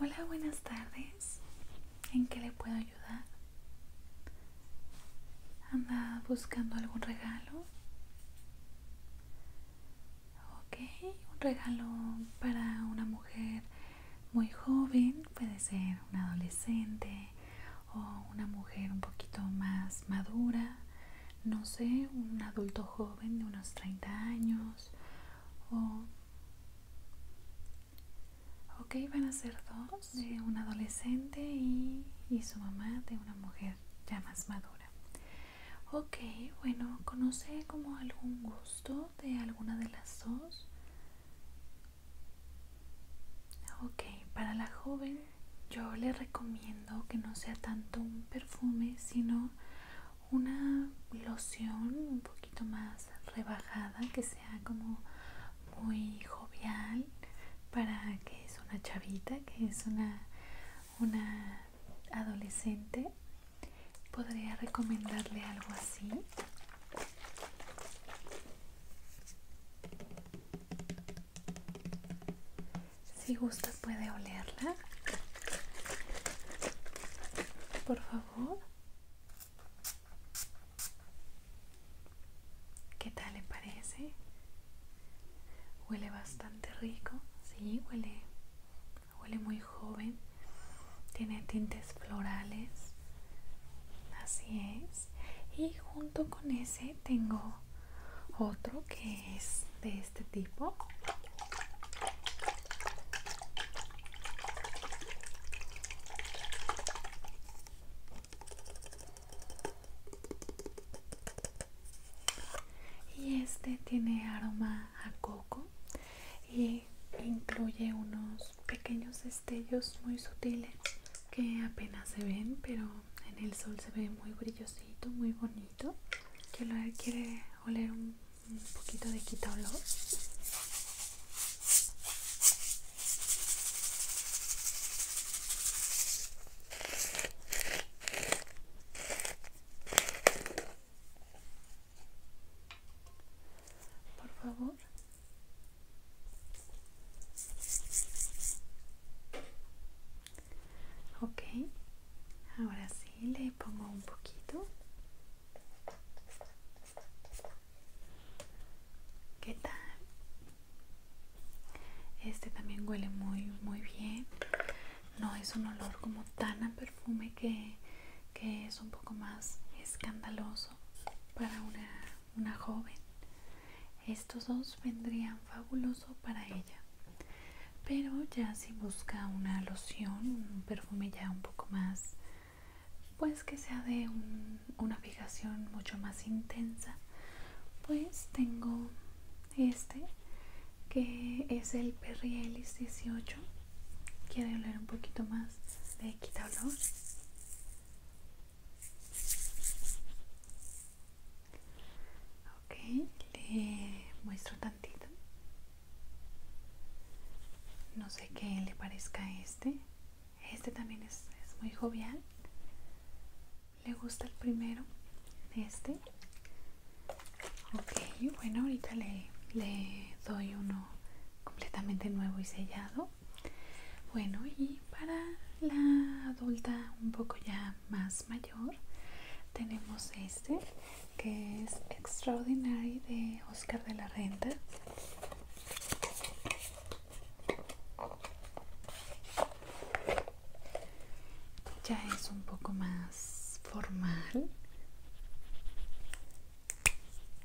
Hola, buenas tardes. ¿En qué le puedo ayudar? ¿Anda buscando algún regalo? Ok, un regalo para una mujer muy joven, puede ser una adolescente o una mujer un poquito más madura, no sé, un adulto joven de unos 30 años Oh. ok van a ser dos de un adolescente y, su mamá de una mujer ya más madura ok bueno conoce como algún gusto de alguna de las dos ok para la joven yo le recomiendo que no sea tanto un perfume sino una loción un poquito más rebajada que sea como muy jovial para que es una chavita que es una una adolescente podría recomendarle algo así si gusta puede olerla por favor. ¿Qué tal le parece? Huele bastante rico, sí, huele, huele muy joven. Tiene tintes florales. Así es. Y junto con ese tengo otro que es de este tipo y este tiene aroma a coco y incluye unos pequeños destellos muy sutiles que apenas se ven pero en el sol se ve muy brillosito muy bonito que lo quiere oler un, poquito de quita por favor ok ahora sí le pongo un poquito ¿Qué tal? Este también huele muy muy bien. No es un olor como tan a perfume que, que es un poco más escandaloso para una, una joven. Estos dos vendrían fabuloso para ella pero ya si busca una loción un perfume ya un poco más pues que sea de una fijación mucho más intensa pues tengo este que es el Perrielis 18 quiere hablar un poquito más de quita olor ok le muestro tantito no sé qué le parezca este este también es, muy jovial le gusta el primero este ok bueno ahorita le, le doy uno completamente nuevo y sellado bueno y para la adulta un poco ya más mayor tenemos este que es Extraordinary de Oscar de la Renta ya es un poco más formal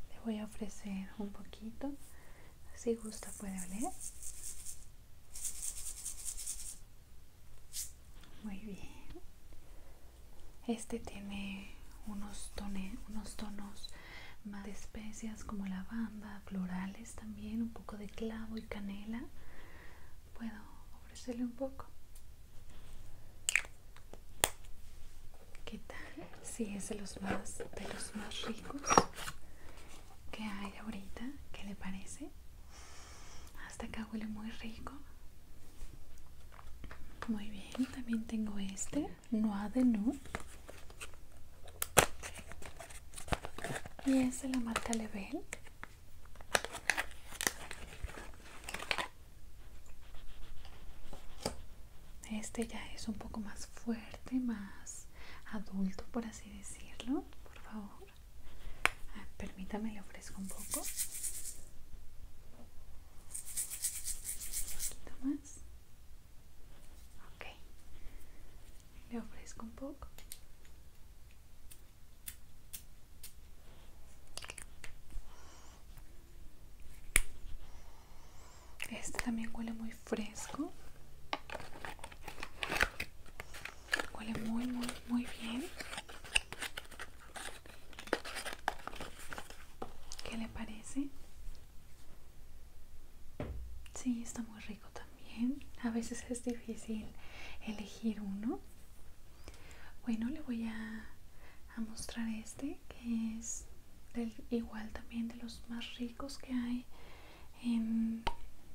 le voy a ofrecer un poquito si gusta puede oler muy bien. Este tiene unos, unos tonos más de especias como lavanda, florales también, un poco de clavo y canela. ¿Puedo ofrecerle un poco? ¿Qué tal? Sí, es de los más, de los más ricos que hay ahorita. ¿Qué le parece? hasta acá huele muy rico muy bien también tengo este noa de No, y este la marca Level este ya es un poco más fuerte más adulto por así decirlo por favor permítame, le ofrezco un poco. Un poquito más. Ok. Le ofrezco un poco. Este también huele muy fresco. Huele muy, muy, muy bien. ¿Qué le parece? Sí, está muy rico también. A veces es difícil elegir uno. Bueno, le voy a, mostrar este que es del, igual también de los más ricos que hay Em,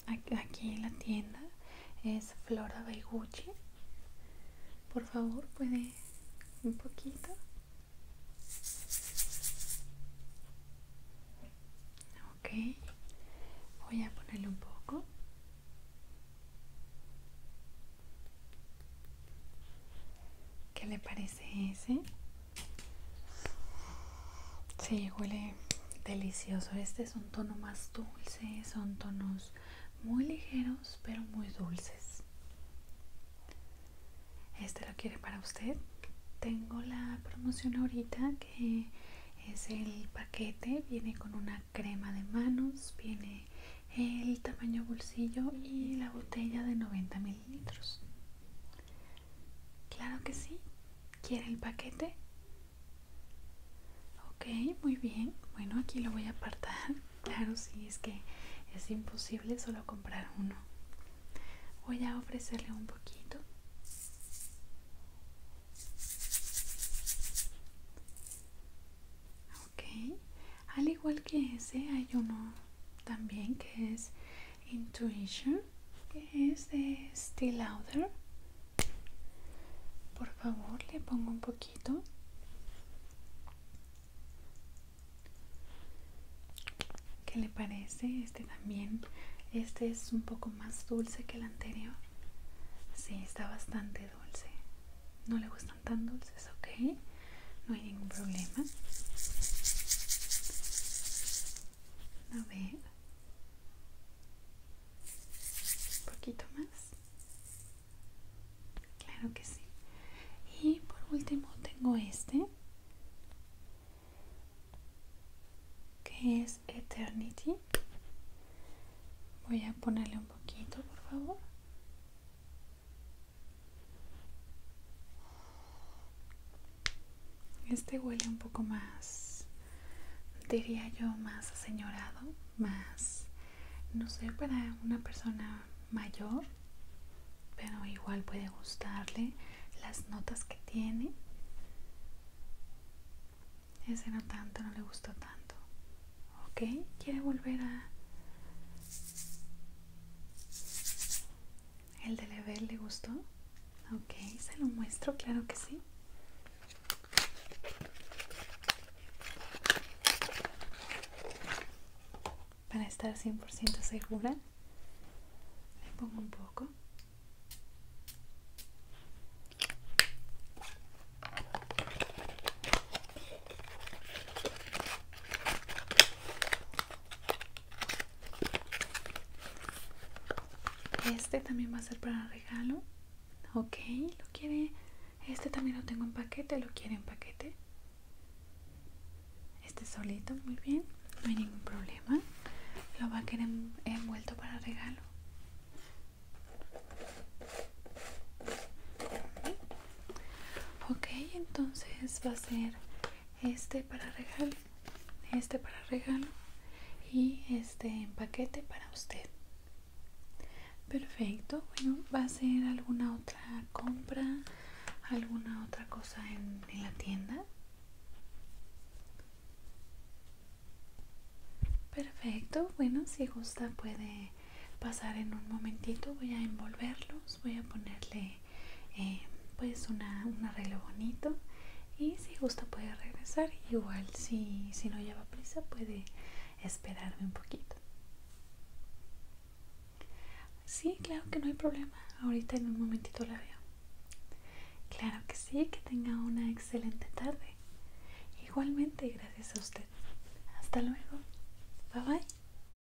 aquí en la tienda es Flora by por favor puede un poquito ok voy a ponerle un poco ¿Qué le parece ese? Sí, huele delicioso. Este es un tono más dulce, son tonos muy ligeros pero muy dulces. Este lo quiere para usted. Tengo la promoción ahorita que es el paquete, viene con una crema de manos, viene el tamaño bolsillo y la botella de 90 mililitros. Claro que sí, ¿Quiere el paquete? Ok, muy bien. Bueno, aquí lo voy a apartar. Claro, sí, es que es imposible solo comprar uno. Voy a ofrecerle un poquito. Ok, al igual que ese hay uno también que es Intuition, que es de Still Louder. Por favor, le pongo un poquito. ¿Qué le parece? Este también. Este es un poco más dulce que el anterior. Sí, está bastante dulce. No le gustan tan dulces, ok. No hay ningún problema a ver un poquito más claro que sí y por último tengo este que es eternity voy a ponerle un poquito por favor este huele un poco más, diría yo, más señorado, más, no sé, para una persona mayor, pero igual puede gustarle las notas que tiene. Ese no tanto, no le gustó tanto. ¿Ok? ¿Quiere volver a ¿El de Lebel le gustó? Ok, se lo muestro, claro que sí. Para estar 100% segura, le pongo un poco. Este también va a ser para regalo. Ok, lo quiere. Este también lo tengo en paquete, lo quiere en paquete. Este solito, muy bien. No hay ningún problema. Lo va a querer envuelto para regalo. Ok, entonces va a ser este para regalo este para regalo y este en paquete para usted perfecto bueno va a ser alguna otra compra alguna otra cosa en la tienda perfecto bueno si gusta puede pasar en un momentito voy a envolverlos voy a ponerle eh, pues un arreglo bonito y si gusta puede regresar igual si, si no lleva prisa puede esperarme un poquito sí claro que no hay problema ahorita en un momentito la veo claro que sí que tenga una excelente tarde igualmente gracias a usted hasta luego bye bye